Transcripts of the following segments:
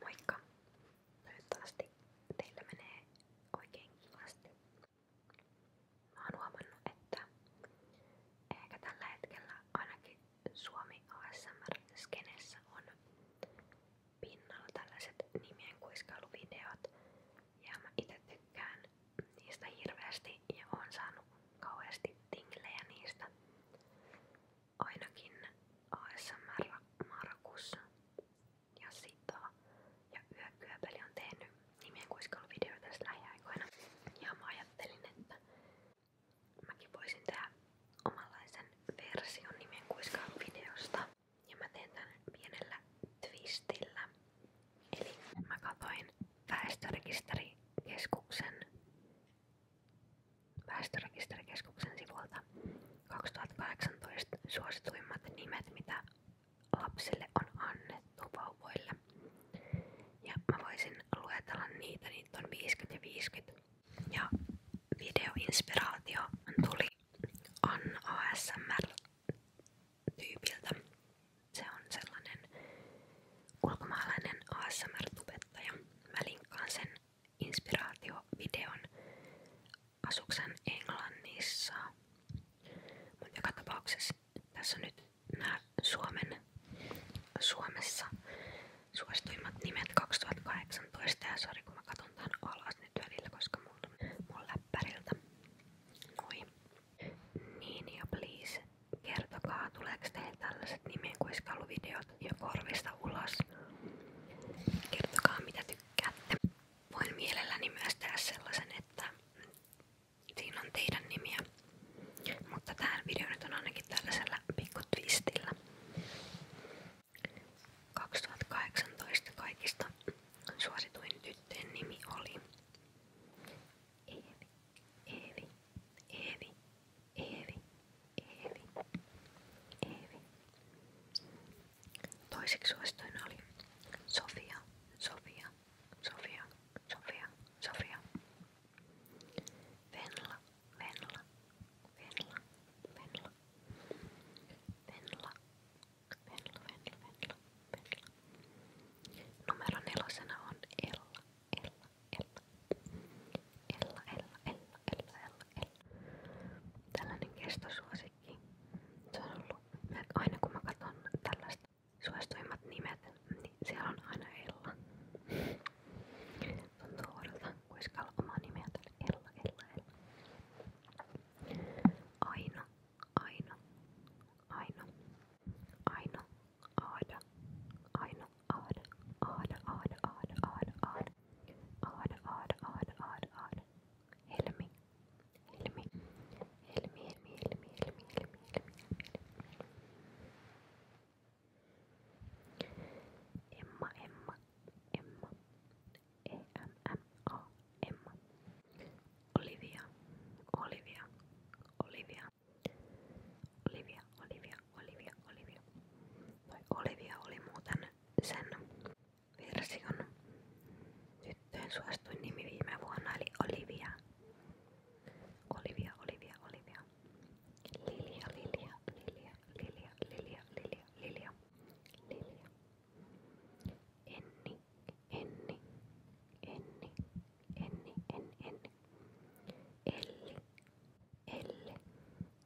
Moikka! Toivottavasti teillä menee oikein kivasti. Mä oon huomannut, että ehkä tällä hetkellä ainakin Suomi ASMR-skenessä on pinnalla tällaiset nimien kuiskailuvideot ja mä itse tykkään niistä hirveästi ja oon saanut kauheasti tinglejä niistä ainakin ASMR Markus ja Sita ja Yökyöpeli on tehnyt nimien kuiskeluvideoita tässä lähiaikoina. Ja mä ajattelin, että mäkin voisin tehdä omanlaisen version nimien kuiskeluvideosta. Ja mä teen tän pienellä twistillä. Eli mä katoin väestörekisterikeskuksen Väestörekisterikeskuksen sivulta 2018 suosituimmat nimet, mitä lapsille on annettu vauvoille. Ja mä voisin luetella niitä, niitä on 50 ja 50. Ja videoinspiraatio tuli Anna ASMR-tyypiltä. Se on sellainen ulkomaalainen ASMR-tubettaja. Mä linkkaan sen inspiraatiovideon asuksen Englannissa. Mutta joka tapauksessa tässä on nyt nämä Suomen, Suomessa suosituimmat nimet 2018 ja sori kun mä katson tämän alas nyt niin välillä, koska mulla mun läppäriltä. Noi. Niin ja please kertokaa tuleeko teille tällaiset nimenkuiskailuvideot ja korvista ulos. Kertokaa mitä tykkäätte. Voin mielelläni myös tehdä sellaisen, että siinä on teidän nimiä. Mutta tähän video nyt on ainakin tällaisella pikku twistillä. 2018 kaikista suosituin tyttöjen nimi oli Eevi, Eevi, Eevi, Eevi, Eevi, Eevi. Toiseksi suosituin oli Sofia, Sofia, Sofia, Sofia, Sofia. Venla, Venla, Venla, Venla. Venla, Venla, Venla, Venla, Venla. Numero nelosena on Ella, Ella, Ella, Ella, Ella, Ella, Ella, Ella. Tällainen kestosuosikki. Se on ollut, aina kun mä katson tällaista suosituimmat nimet, niin siellä on aina Ella. Tuntuu oudolta kuiskalla omaa nimeä Ella, Ella, Ella. Aino, Aino, Aino, Aino, Aada, Aino, odd, odd, odd, odd, odd, odd, odd, odd, odd, odd, odd. Heal me, heal me, heal me, heal me, heal me, heal me, heal me. Emma, Emma, Emma, E M M O, Emma. Olivia, Olivia, Olivia, Olivia, Olivia, Olivia, Olivia, Olivia. Toi Olivia oli muuten sen version tyttöjen suosituin nimi viime vuonna, eli Olivia. Olivia, Olivia, Olivia. Lilia, Lilia, Lilia, Lilia, Lilia, Lilia, Lilia, Lilia. Enni, Enni, Enni, Enni, Enni, Enni. Elli, Elle,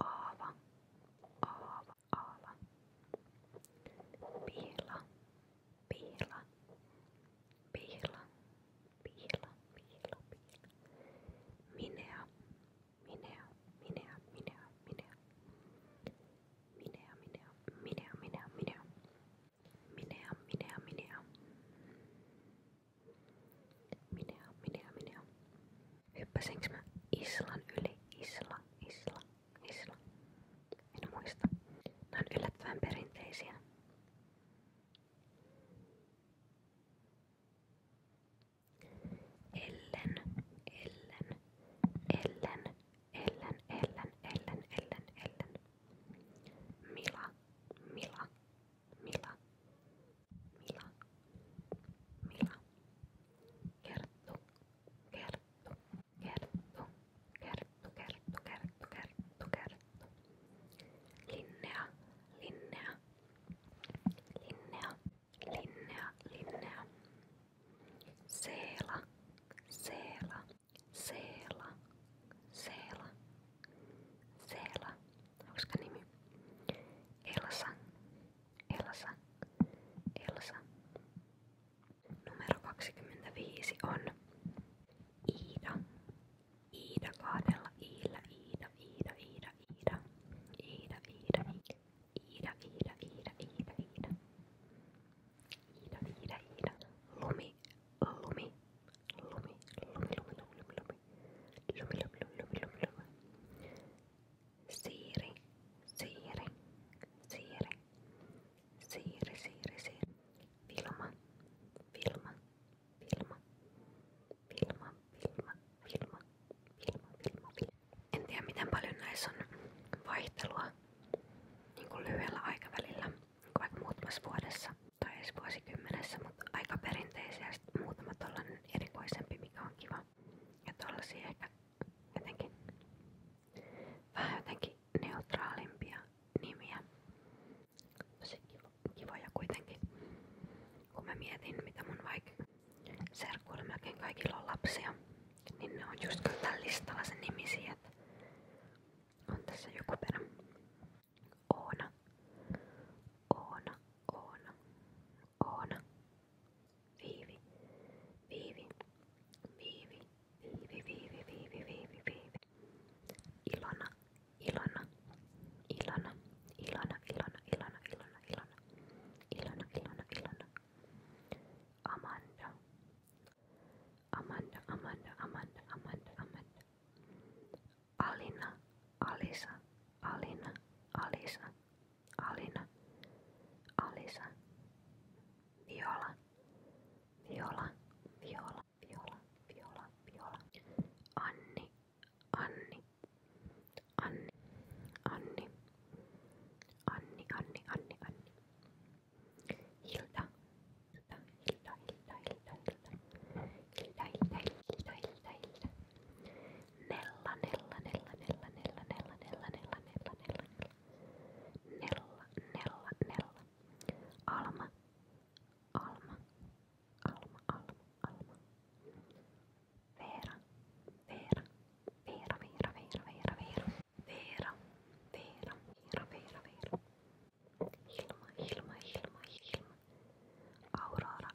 aava, aava, aava. Piila, piila, piila, piila, piila, piila. Minea, minea, minea, minea, minea. Minea, minea, minea, minea, minea. Minea, minea, minea. Minea, minea, minea. Hyppäsinkö mä Islan yli? Isla, Isla, Isla. En muista. Nämä on yllättävän perinteisiä. Ellen, Ellen, Ellen, Ellen, Ellen, Ellen, Ellen, Ellen. Mila, Mila, Mila, Mila, Mila, Kerttu, Kerttu, Kerttu, Kerttu, Kerttu, Kerttu, Kerttu, Kerttu, Linnea, Linnea, Linnea, Linnea, Linnea, Seela, Seela, Seela, Seela, Seela, onks nimi? Elsa, Elsa, Elsa. Numero 25 on Iida, Iida kahdella iillä, Iida, Iida, Iida, Iida, Iida, Iida, Iida, Iida, Iida, Iida, Iida, Iida, Iida, Iida, lumi, lumi, lumi, lumi, lumi, lumi, lumi, lumi, lumi, lumi, lumi, lumi, lumi, Siiri, siiri, siiri, siiri, siiri, siiri. Vilma, Vilma, Vilma, Vilma, Vilma, Vilma, Vilma, Vilma, Vilma. En miten paljon näissä on vaihtelua niin lyhyellä aikavälillä, niin kuin vaikka tai edes vuosikymmenessä, mutta aika perinteisiä ja muutamat ollaan erikoisempi, mikä on kiva ja tollasia ehkä jotenkin vähän jotenkin neutraalimpia nimiä. Tosi kivo, kivoja kuitenkin. Kun mä mietin mitä mun vaikka serkuilla melkein kaikilla on lapsia, niin ne on just tällä listalla sen nimisiä, että on tässä joku perä. Oona, Oona, Oona. Oona. Viivi. Viivi. Viivi. Viivi. Viivi. Viivi. Viivi. Viivi. Ilona. Ilona. Ilona. Ilona. Ilona. Ilona. Ilona. Ilona. Ilona. Ilona. Ilona. Amanda. Amanda. Amanda. Amanda. Amanda. Amanda. Alina. Alisa. Alina. Alisa. Alina, Alisa, Viola, Viola, Viola, Viola, Viola, Viola, Anni, Anni, Anni, Anni, Anni, Anni, Anni, Anni, Hilda, Hilda, Hilda, Hilda, Hilda, Hilda, Hilda, Hilda, Hilda, Hilda, Hilda, Nella, nella, nella, nella, nella, nella, nella, nella, nella, nella, nella, nella, nella, Alma, Alma, Alma, Alma, Alma. Veera, Veera, Veera, Veera, Veera, Veera, Veera, Veera, Veera, Veera, Veera, Veera. Hilma, Hilma, Hilma, Hilma. Aurora,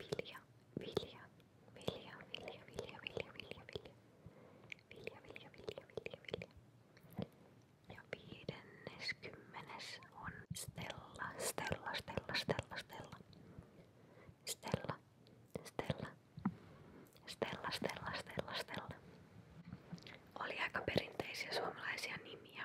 Vilja, vilja, vilja, vilja, vilja, vilja, vilja, vilja. Vilja, vilja, vilja, vilja, vilja. Ja viidennes kymmenes on Stella, Stella, Stella, Stella, Stella. Stella, Stella. Stella, Stella, Stella, Stella. Oli aika perinteisiä suomalaisia nimiä.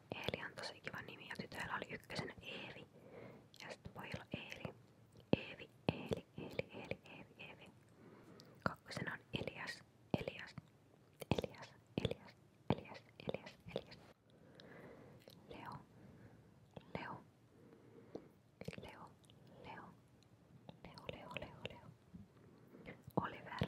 Eeli on tosi kiva nimi ja tytöillä oli ykkösenä Eevi ja sitten pojilla Eeli. Eevi, Eeli, Eeli, Eeli, Eevi, Eevi. Kakkosena on Elias, Elias, Elias, Elias, Elias, Elias, Elias. Leo, Leo, Leo, Leo, Leo, Leo, Leo, Leo. Oliver,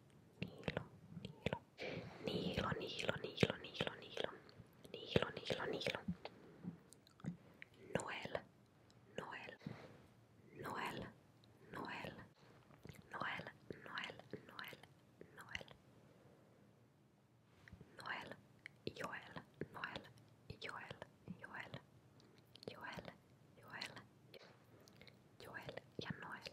Nilo, Nilo, Nilo, Nilo, Nilo, Nilo, Nilo, Nilo, Nilo. Noel, Noel, Noel, Noel, Noel, Noel, Noel, Noel. Noel, Joel, Noel, Joel, Joel, Joel, Joel, Joel ja Noel.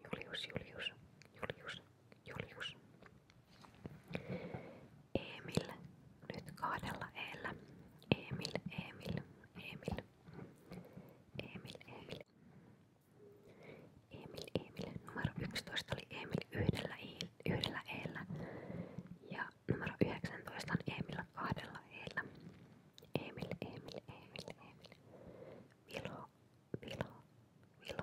Julius, Julius, Julius, Julius. Emil, nyt kahdella eellä. Emil, Emil, Emil. Emil, Emil. Emil, Emil. Numero 11 oli Emil yhdellä, iil, yhdellä eellä. Ja numero 19 on Emil kahdella eellä. Emil, Emil, Emil, Emil. Vilo, Vilo, Vilo,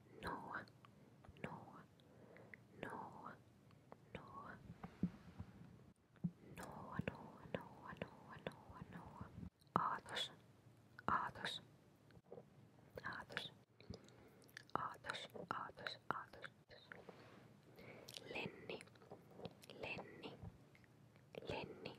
no, no, no, no, no, no, no, no, no, no. Aatos, aatos, aatos, aatos, aatos, aatos. Lenni, lenni, lenni,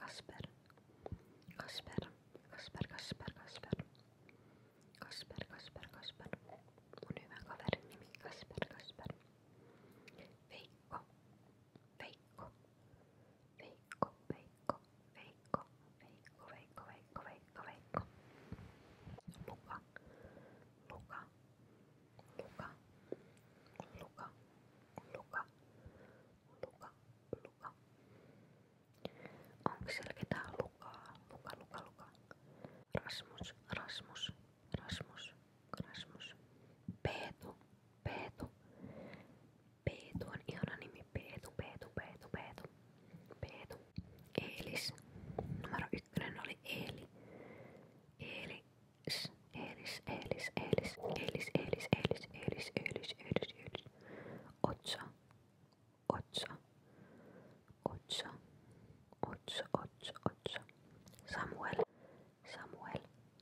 Kasper, Kasper, Kasper, Kasper, Kasper, Kasper, Kasper, Kasper, mun hyvä kaverin nimi Kasper, Kasper, Veikko, Veikko, Veikko, Veikko, Veikko, Veikko, Veikko, Veikko, Veikko, Veikko, Luka, Luka, Luka, Luka, Luka, Luka, Luka, Luka, Onko siellä ketään lukaa? Luka, luka, luka. Rasmus, Rasmus, Rasmus, Rasmus. Peetu, Peetu. Peetu on ihana nimi. Peetu, Peetu, Peetu, Peetu. Peetu. Eelis. Numero ykkönen oli Eeli. Eeli. Elis, Elis, Elis, Elis, Elis, Elis, Elis, Elis, Elis, Elis, Elis. 8 8 8 8 8 8 Samuel Samuel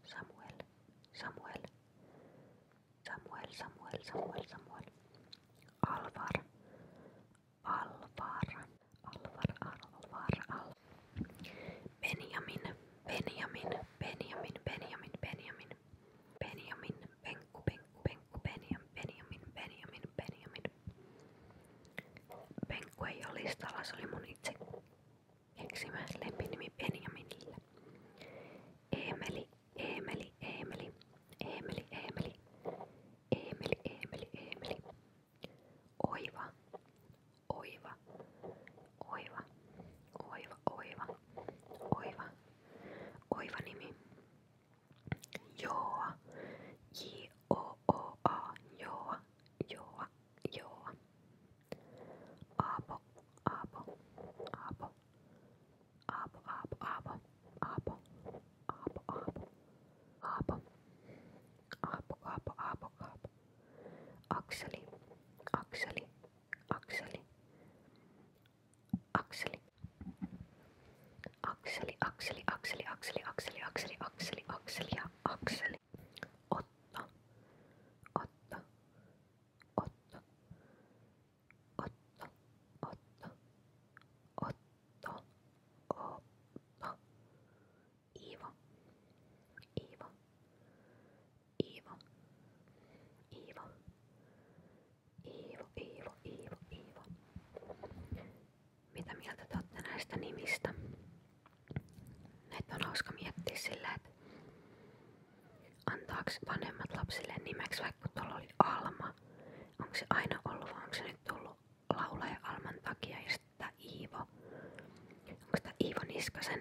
Samuel Samuel Samuel Samuel Samuel Samuel Alvar Alvar Alvar Alvar Alvar Benjamin Benjamin Benjamin Benjamin Benjamin Benjamin, Penkku, Penkku, Penkku, Benjam, Benjamin, Benjamin, Benjamin. Penkku ei ole listalla, se oli mun itse keksimä lempinimi Benjaminille. Eemeli, Eemeli, Eemeli, Eemeli, Eemeli, Eemeli, Eemeli, Eemeli. Oiva, oiva, oiva, oiva, oiva. Oiva. Oiva nimi. Joa. J-O-O-A. Joa. Joa. Joa. Aapo. Aapo. Aapo. Aapo. Aapo. Aapo. Aapo. Aapo. Aapo. Aapo. Aapo. Aapo. Aapo. Aapo. Akseli. Akseli. Akseli akseli. Akseli, akseli, akseli, akseli, akseli, akseli, akseli, akseli ja akseli. Otto, otto, otto, otto, otto, otto, otto. Iivo, Iivo, Iivo, Iivo, Iivo, Iivo, Iivo, Iivo. Mitä mieltä te olette näistä nimistä? Näitä vanhemmat lapsille nimeksi, vaikka tuolla oli Alma. Onko se aina ollut vai onko se nyt tullut laulaja Alman takia ja sitten Iivo. Onko tämä Iivo Niskasen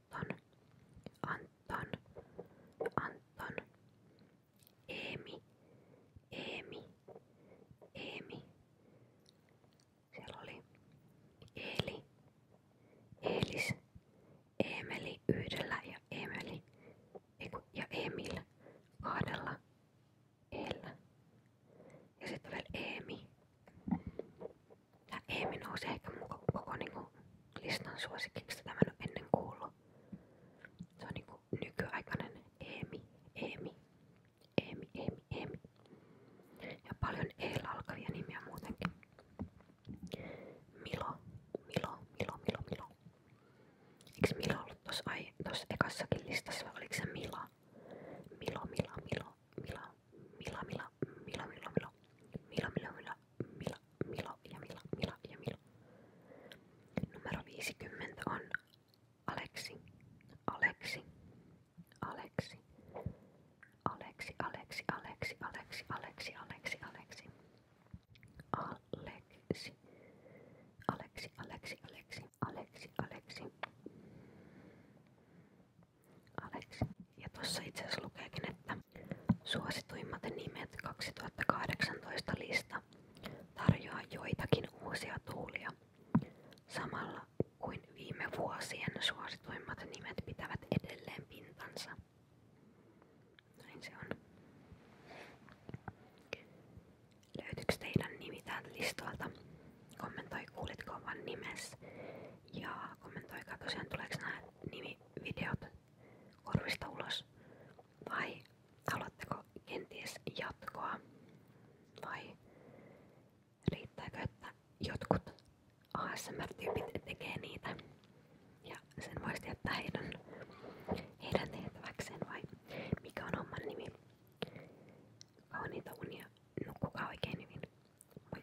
Anton, Anton, Anton, Eemi, Eemi, Eemi. Siellä oli Eli, Eelis, Eemeli yhdellä ja Emeli eiku, ja Emil kahdella eellä. Ja sitten vielä Eemi ja Eemi nousi ehkä mun koko, koko kuin niinku listan suosikiksi. Tätä mä en oo ennen kuullut. Se on niin niinku nykyaikainen Eemi, Eemi, Eemi, Eemi, Eemi. Ja paljon eillä alkavia nimiä muutenkin. Milo, Milo, Milo, Milo, Milo. Eiks Milo ollut tossa, ai, tossa ekassakin listassa vai oliko se Mila? Milo, Mila, Milo, Mila, Mila, Mila, Milo, Milo, Milo. Milo, Milo, Milo. Milo, Milo ja Milo, Milo ja Milo. Numero 50 on Aleksi. Aleksi. Aleksi. Aleksi, Aleksi, Aleksi, Aleksi, Aleksi, Aleksi, Aleksi. Aleksi. Aleksi, Aleksi, Aleksi, Aleksi, Aleksi. Aleksi. Ja tuossa itse että suosituimmat nimet 2018 lista tarjoaa joitakin uusia tuulia. Samalla kuin viime vuosien suosituimmat nimet pitävät edelleen pintansa. Näin se on. Löytyykö teidän listalta? Kommentoi kuulitko oman ja kommentoikaa tosiaan tuleeko nämä nimivideot korvista ulos? Vai haluatteko kenties jatkoa? Vai riittääkö, että jotkut ASMR-tyypit tekee niitä ja sen voisi jättää heidän, heidän tehtäväkseen vai mikä on homman nimi? Kauniita unia, nukkukaa oikein hyvin. Moikka!